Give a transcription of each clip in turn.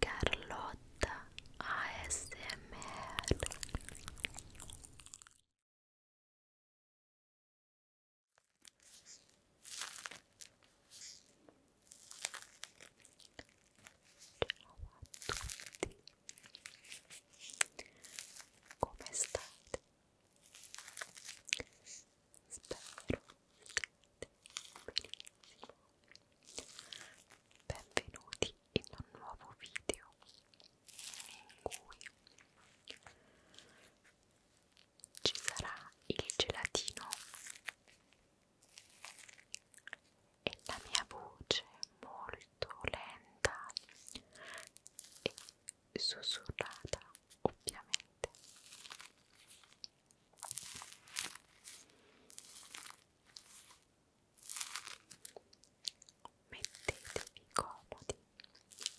Carlotta ASMR Ciao a tutti come state? Spero che benissimo. Benvenuti in un nuovo video in cui ci sarà il gelatino e la mia voce molto lenta e sussurrata ovviamente mettetevi comodi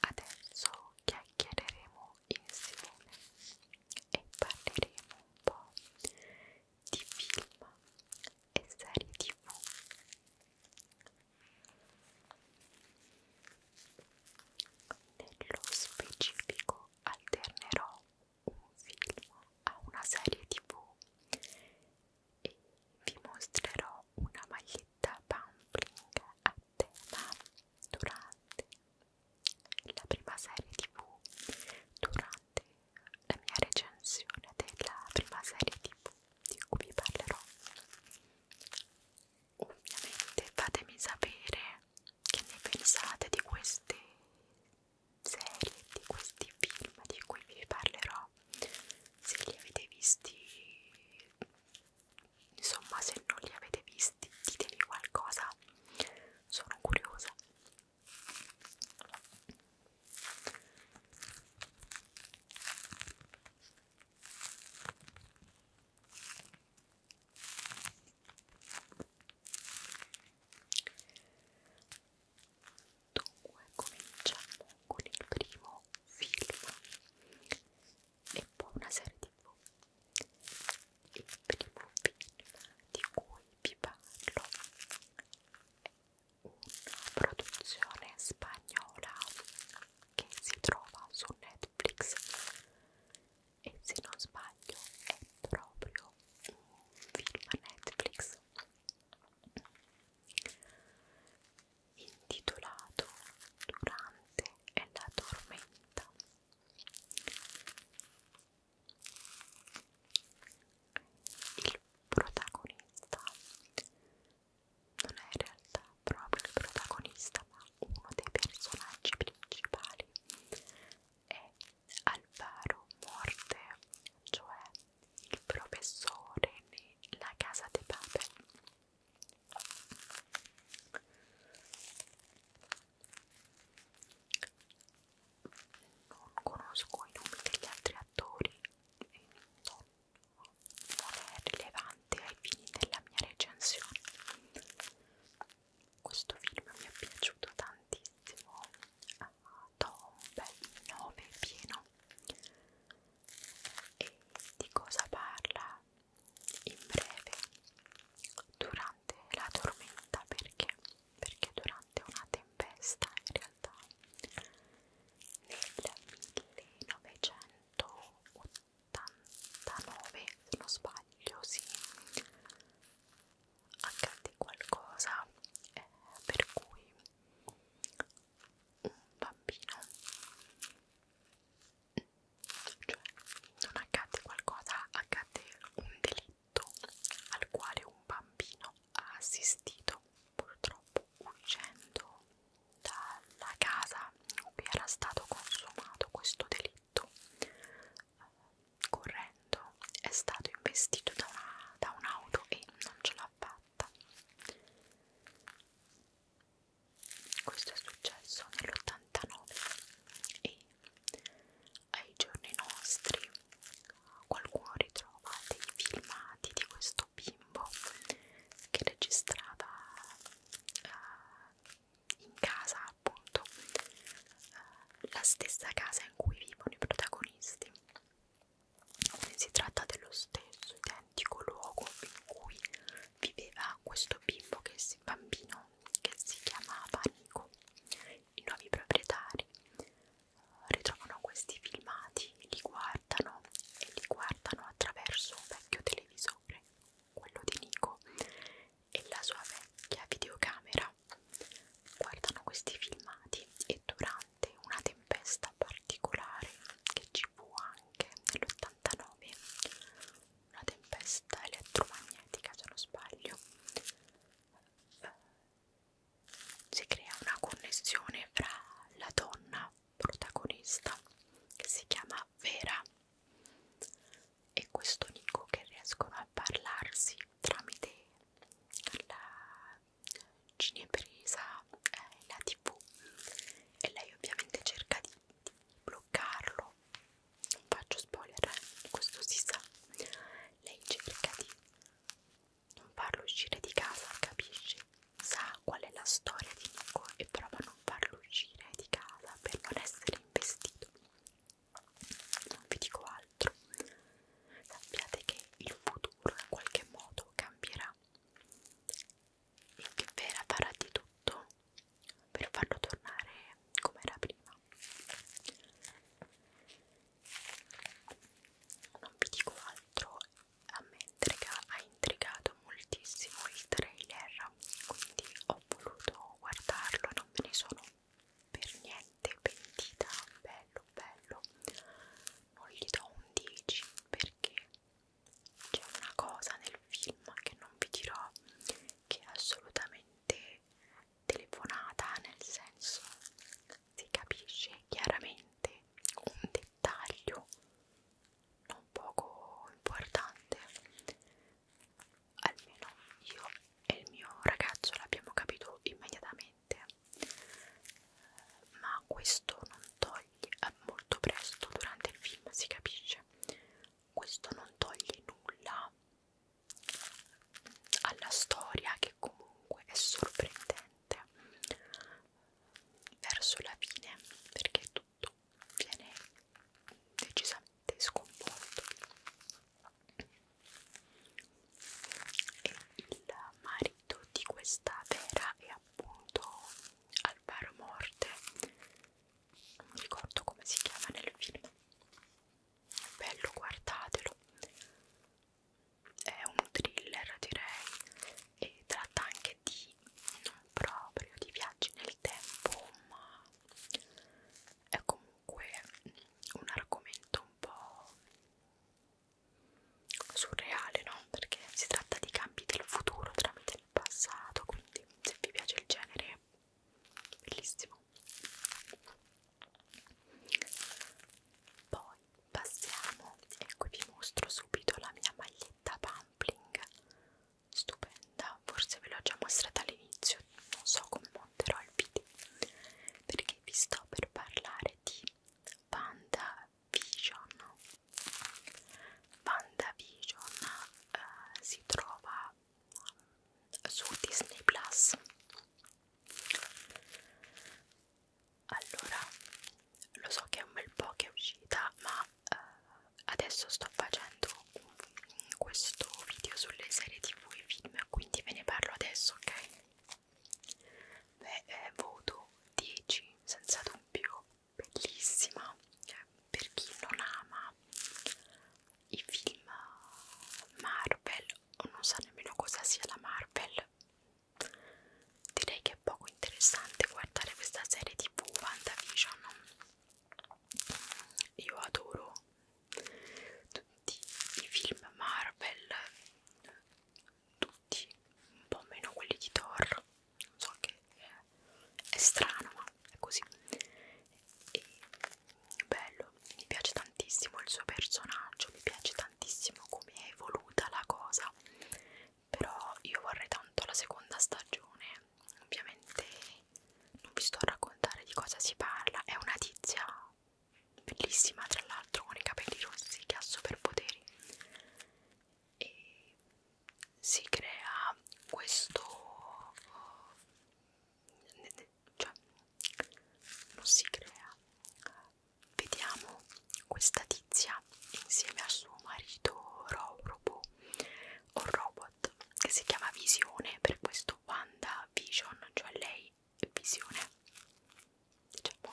adesso chiacchiereremo insieme e parleremo un po' di film e serie tv nello specifico alternerò un film a una serie tv e vi mostrerò una maglietta pampling a tema durante la prima serie tv durante la mia recensione della prima serie tv di cui vi parlerò ovviamente fatemi sapere che ne pensate di queste serie di questi film di cui vi parlerò se li avete visti insomma se non li avete visti ditemi qualcosa sono curiosa Dunque cominciamo con il primo film e poi una serie tv. Il primo film di cui vi parlo è una produzione spagnola che si trova su Netflix e se non sbaglio è proprio un film Netflix intitolato Durante e la tormenta il protagonista non è in realtà proprio il protagonista ma uno dei personaggi principali è Alvaro Morte, cioè il professore nella casa dei Babel non conosco i nomi degli altri attori e non non è rilevante ai fini della mia recensione. Questo film mi è piaciuto tantissimo, do un bel 9 pieno. E di cosa parla? In breve, durante la tormenta, perché? Perché durante una tempesta in realtà nel 1989 se non sbaglio sì accadde qualcosa eh, per cui un bambino cioè non accadde qualcosa accadde un delitto al quale un bambino ha assistito purtroppo uscendo dalla casa in cui era stato consumato questo delitto, eh, correndo, è stato investito da, una, da un'auto e non ce l'ha fatta. Questo è successo nell'89 e ai giorni nostri qualcuno ritrova dei filmati di questo questo bimbo che registrava uh, eh, in casa appunto uh, la stessa casa in cui vivono i protagonisti Quindi si tratta dello stesso identico luogo in cui viveva questo bimbo che si, bambino che si chiamava Nico i nuovi proprietari ritrovano questi filmati, li guardano e li guardano attraverso un vecchio televisore, quello di Nico, e la sua vecchia videocamera. Guardano questi filmati e durante una tempesta particolare che ci fu anche nell'89, una tempesta elettromagnetica se non sbaglio, si crea una connessione fra la donna protagonista che si chiama Vera e questo Nico che riescono a parlarsi tramite la cinepresa e eh, la tv e lei ovviamente cerca di, di bloccarlo non faccio spoiler, eh, questo si sa lei cerca di non farlo uscire di casa, capisci? Sa qual è la storia di Nico e prova a non farlo uscire di casa per non essere investito. Non vi dico altro. Sappiate che il futuro in qualche modo cambierà e che Vera farà di tutto per farlo tornare come era prima non vi dico altro a me intriga, ha intrigato moltissimo il trailer quindi ho voluto guardarlo non me ne sono per niente pentita bello bello non gli do un 10 perché c'è una cosa nel film che non vi dirò che è assolutamente telefonata nel senso si capisce chiaramente un dettaglio non poco importante almeno io e il mio ragazzo l'abbiamo capito immediatamente ma questo non toglie eh, molto presto durante il film si capisce questo non toglie nulla alla storia che comunque è sorprendente sicuramente verso la fine perché tutto viene decisamente sconvolto e il marito di questa vera è appunto Alvaro Morte non mi ricordo come si chiama nel film bello guardatelo è un thriller direi e tratta anche di non proprio di viaggi nel tempo ma è comunque un argomento un po' surreale no? perché si tratta di cambi del futuro tramite il passato quindi se vi piace il genere bellissimo poi passiamo, e qui vi mostro subito la mia maglietta Pampling, stupenda, forse ve l'ho già mostrata all'inizio, non so come monterò il video, perché vi sto per parlare di Panda Vision. Panda Vision eh, si trova mm, su Disney Plus allora lo so che è un bel po' che è uscita ma eh, adesso sto facendo un, questo video sulle serie tv e film quindi ve ne parlo adesso ok beh eh, voto 10 senza dubbio bellissima eh, per chi non ama i film Marvel o non sa nemmeno cosa sia la Marvel. Direi che è poco interessante guardare questa serie tv WandaVision. Io adoro tutti i film Marvel, tutti, un po' meno quelli di Thor. Non so che è strano, ma è così. E bello, mi piace tantissimo il suo personaggio, mi piace tantissimo come è evoluta la cosa, però io vorrei tanto la seconda stagione, ovviamente non vi sto a raccontare di cosa si parla, è una tizia bellissima tra l'altro con i capelli rossi che ha superpoteri e si crea questo eh, cioè non si crea vediamo questa tizia insieme al suo marito Ro Robo o robot che si chiama Visione per questo Wanda Vision cioè lei è Visione diciamo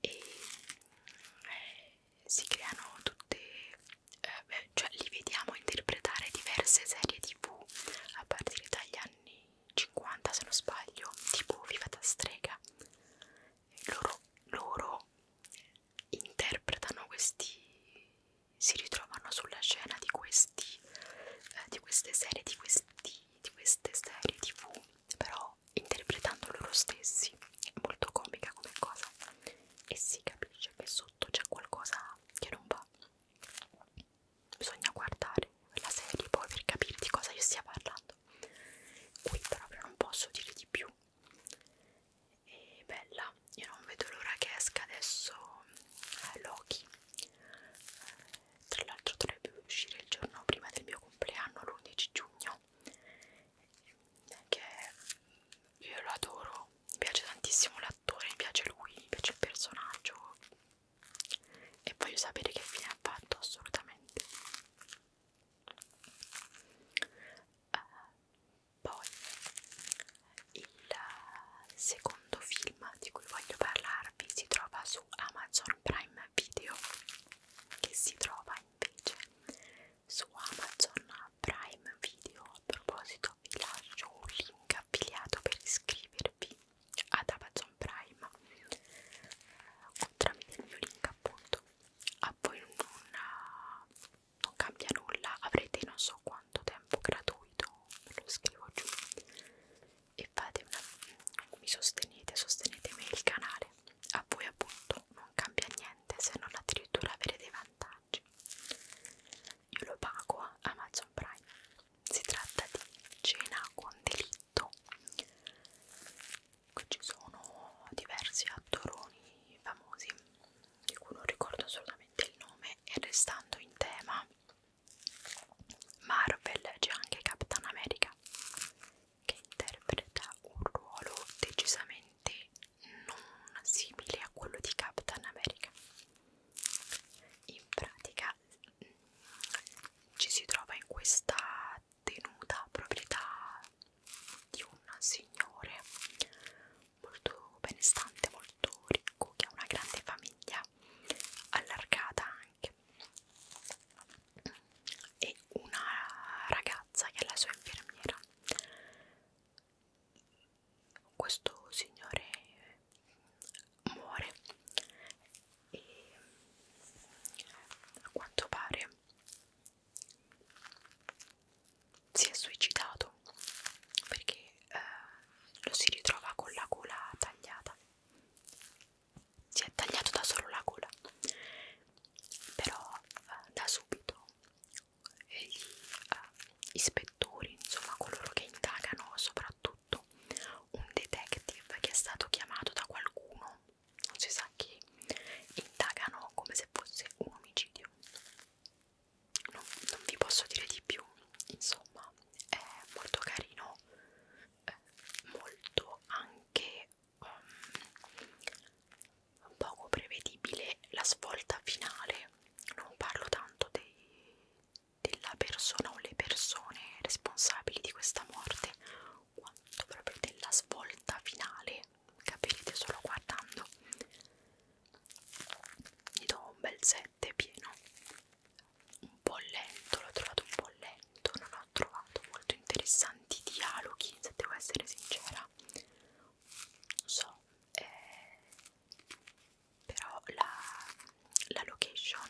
e eh, si creano tutte eh, cioè li vediamo interpretare diverse serie tv a partire dagli anni 50 se non sbaglio, tipo Viva da strega. Loro, loro interpretano questi, si ritrovano sulla scena di questi, eh, di queste serie, di, questi, di queste serie tv, però interpretando loro stessi. È molto comica come cosa e si capisce che sotto c'è qualcosa che non va bisogna guardare la serie poi per capire di cosa io stia parlando qui proprio non posso dire di più e bella io non vedo l'ora che esca adesso eh, Loki eh, tra l'altro dovrebbe uscire il giorno prima del mio compleanno l'11 giugno che io lo adoro mi piace tantissimo l'attore mi piace lui mi piace il personaggio e voglio sapere che fine ha fatto assolutamente uh, poi il secondo film di cui voglio parlarvi si trova su Amazon Prime Video che si trova invece su Amazon Prime Video a proposito video vi lascio un link affiliato per iscrivervi ad Amazon Prime o tramite il mio link appunto a voi non, non cambia nulla avrete non so quanto tempo gratuito ve lo scrivo giù e fate una, mi sostenete sostenete me il canale a voi appunto non cambia niente se non addirittura avere dei vantaggi io lo pago a eh, Amazon Prime si tratta di cena con delitto ci sono diversi attoroni famosi di cui non ricordo assolutamente il nome e restando in tema Marvel c'è anche Captain America che interpreta un ruolo decisamente non simile a quello di Captain America in pratica ci si trova in questa tenuta proprietà di un signore molto benestante, molto ricco, che ha una grande famiglia allargata anche e una ragazza che è la sua infermiera questo signore muore e a quanto pare si è suicidato perché eh, lo si ritrova con la gola tagliata si è tagliato da solo la gola però eh, da subito egli eh, ispettori, insomma coloro che indagano, soprattutto un detective che è stato chiamato da qualcuno, non si sa chi, indagano come se fosse un omicidio. Non, non vi posso dire di più, insomma è molto carino, eh, molto anche um, poco prevedibile la svolta finale. Non parlo tanto dei, della persona o le persone responsabili di questa morte quanto proprio della svolta finale capirete solo guardando gli do un bel 7 pieno un po' lento, l'ho trovato un po' lento non ho trovato molto interessanti dialoghi se devo essere sincera non so eh, però la, la location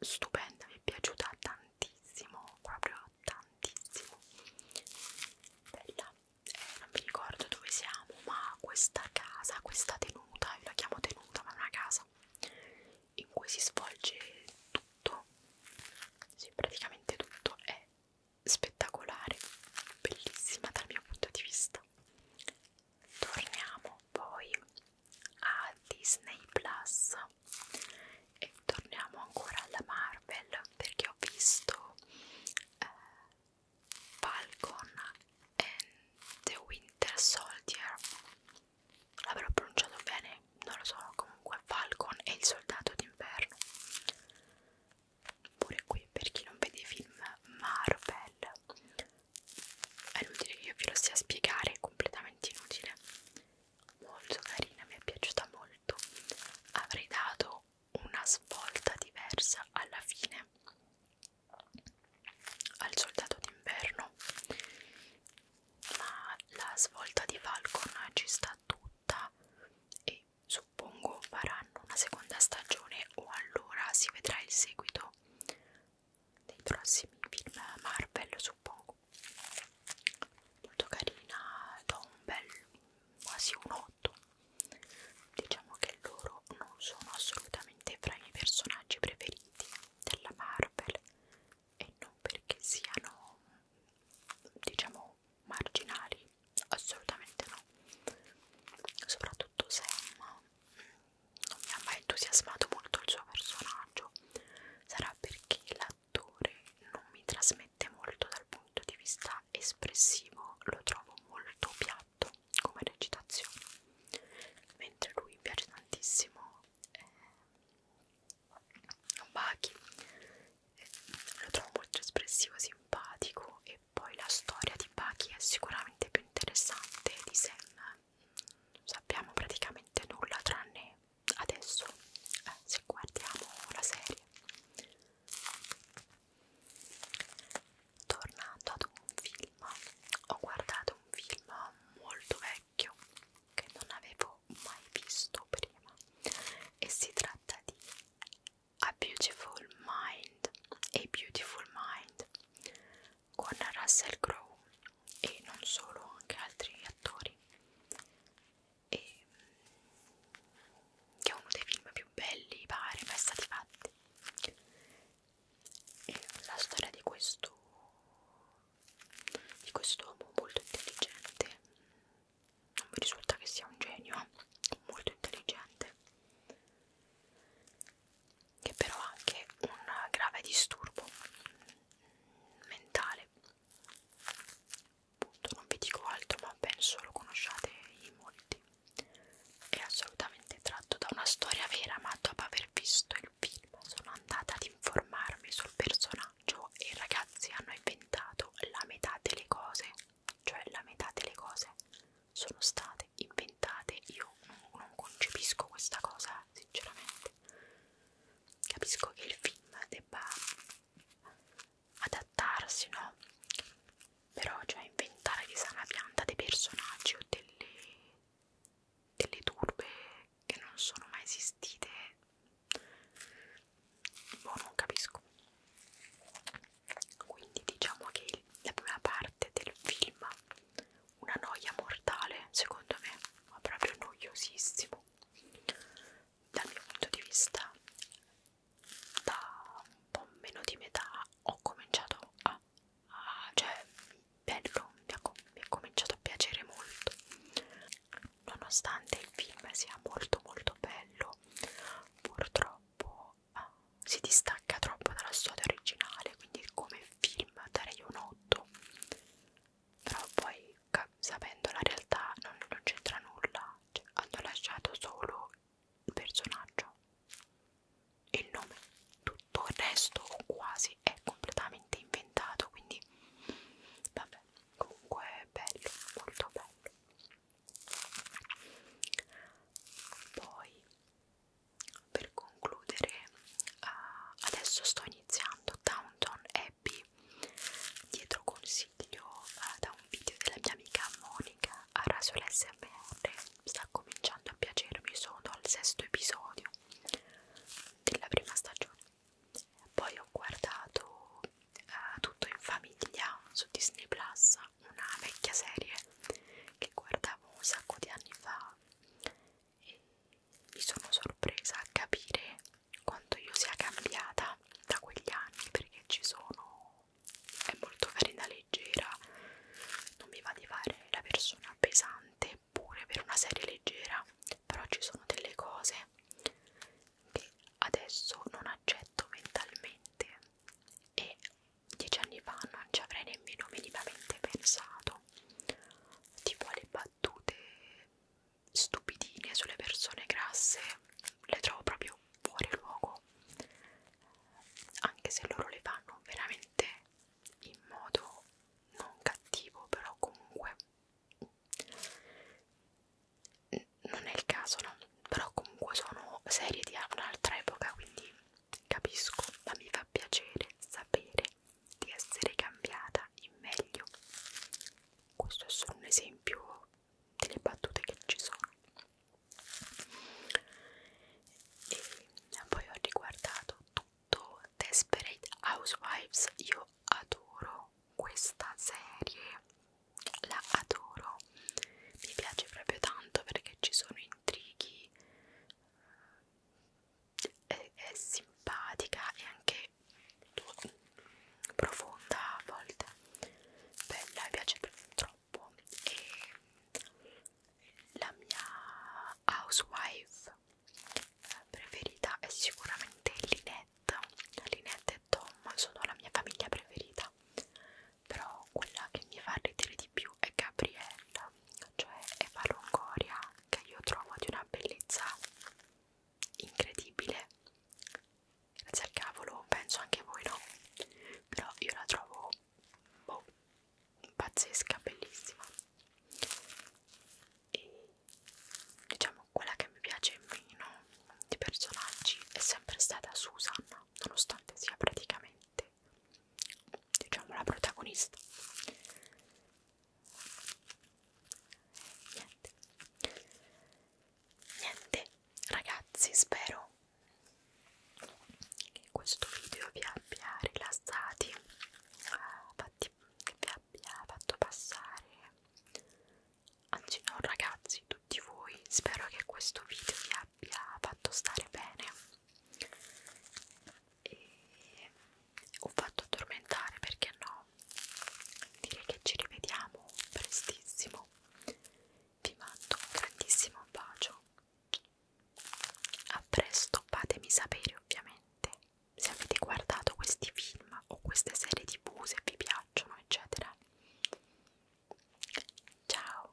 stupenda mi è piaciuta tantissimo proprio tantissimo bella eh, non mi ricordo dove siamo ma questa casa questa tenuta io la chiamo tenuta ma è una casa in cui si svolge tutto sì praticamente tutto è spettacolare bellissima dal mio punto di vista torniamo poi a Disney Plus e torniamo ancora alla Marvel perché ho visto eh, Falcon and the Winter Soldier l'avrò pronunciato bene non lo so comunque Falcon e il soldato d'inverno pure qui per chi non vede i film Marvel è inutile che io ve lo stia a spiegare è completamente inutile molto carina mi è piaciuta molto avrei dato una svolta diversa alla fine al soldato d'inverno ma la svolta di Falcon ci sta tutta e suppongo faranno una seconda stagione o allora si vedrà il seguito dei prossimi film Marvel suppongo molto carina da un bel quasi un 8 diciamo che loro non sono assolutamente fra i miei personaggi preferiti della Marvel e non perché siano diciamo marginali assolutamente no soprattutto Sam non mi ha mai entusiasmato molto il suo personaggio sarà perché l'attore non mi trasmette molto dal punto di vista espressivo lo trovo molto piatto come recitazione mentre lui mi piace tantissimo eh, Bachi eh, lo trovo molto espressivo simpatico e poi la storia di Bucky è sicuramente più interessante di Sam non sappiamo praticamente nulla tranne adesso eh, se guardiamo la serie tornando ad un film ho guardato un film molto vecchio che non avevo mai visto prima e si tratta di a Beautiful Mind, A Beautiful Mind con Russell Crowe e non solo, anche altri attori e, mm, che è uno dei film più belli pare mai stati fatti e la storia di questo di quest'uomo molto intelligente non mi risulta che sia un genio, molto intelligente, che però ha anche un grave disturbo mentale. Appunto, non vi dico altro, ma penso lo conosciate in molti. È assolutamente tratto da una storia vera, ma dopo aver visto il film sono andata ad informarmi sul personaggio e i ragazzi hanno inventato la metà delle cose cioè la metà delle cose sono state inventate io non, non concepisco questa cosa sinceramente capisco che il film debba adattarsi no però cioè inventare che sia una pianta dei personaggi o delle, delle turbe che non sono mai esistite boh non capisco quindi diciamo che la prima parte del film una noia mortale secondo me ma proprio noiosissimo dal mio punto di vista da un po' meno di metà ho cominciato a, a cioè bello mi ha, mi ha cominciato a piacere molto nonostante il film sia molto molto bello purtroppo uh, si distacca troppo dalla storia originale, quindi come film darei un 8, però poi sapendo la realtà non, non c'entra nulla, cioè, hanno lasciato solo il personaggio, il nome, tutto il resto o quasi è completamente inventato, quindi vabbè, comunque è bello, molto bello poi per concludere uh, adesso sto iniziando Downton Abbey dietro consiglio uh, da un video della mia amica Monica a Rasol SMR sta cominciando a piacermi sono al sesto episodio della prima stagione poi ho guardato eh, tutto in famiglia su Disney Plus, una vecchia serie che guardavo un sacco di anni fa e mi sono sorpresa a capire quanto io sia cambiata da quegli anni perché ci sono è molto carina, leggera non mi va di fare la persona pesante pure per una serie leggera però ci sono delle cose che adesso non accetto mentalmente e dieci anni fa non ci avrei nemmeno minimamente pensato tipo le battute stupidine sulle persone grasse le trovo proprio fuori luogo anche se loro le fanno veramente in modo non cattivo però comunque non è il caso, no? Però comunque sono serie di un'altra epoca, quindi capisco, ma mi fa piacere sapere di essere cambiata in meglio. Questo è solo un esempio delle battute che ci sono. E poi ho riguardato tutto Desperate Housewives, io adoro questa serie la adoro mi piace proprio tanto perché ci sono intrighi eh, è, è simpatica e anche profonda a volte bella mi piace troppo e la mia housewife eh, preferita è sicuramente Lynette Linette. Linette e Tom sono la mia famiglia preferita, però quella che mi fa ridere di più è Gabriella, cioè Eva Longoria, che io trovo di una bellezza incredibile. Grazie al cavolo, penso anche voi no, però io la trovo boh, pazzesca, bellissima. E diciamo quella che mi piace meno di personaggi è sempre stata Susan, nonostante sia praticamente diciamo la protagonista. Niente. Niente, ragazzi, spero che questo video vi abbia rilassati, fatti, che vi abbia fatto passare anzi no ragazzi, tutti voi, spero che questo video vi abbia fatto stare bene e ho fatto addormentare perché no direi che ci rivediamo prestissimo vi mando un grandissimo bacio a presto fatemi sapere ovviamente se avete guardato questi film o queste serie tv se vi piacciono eccetera, eccetera. Ciao!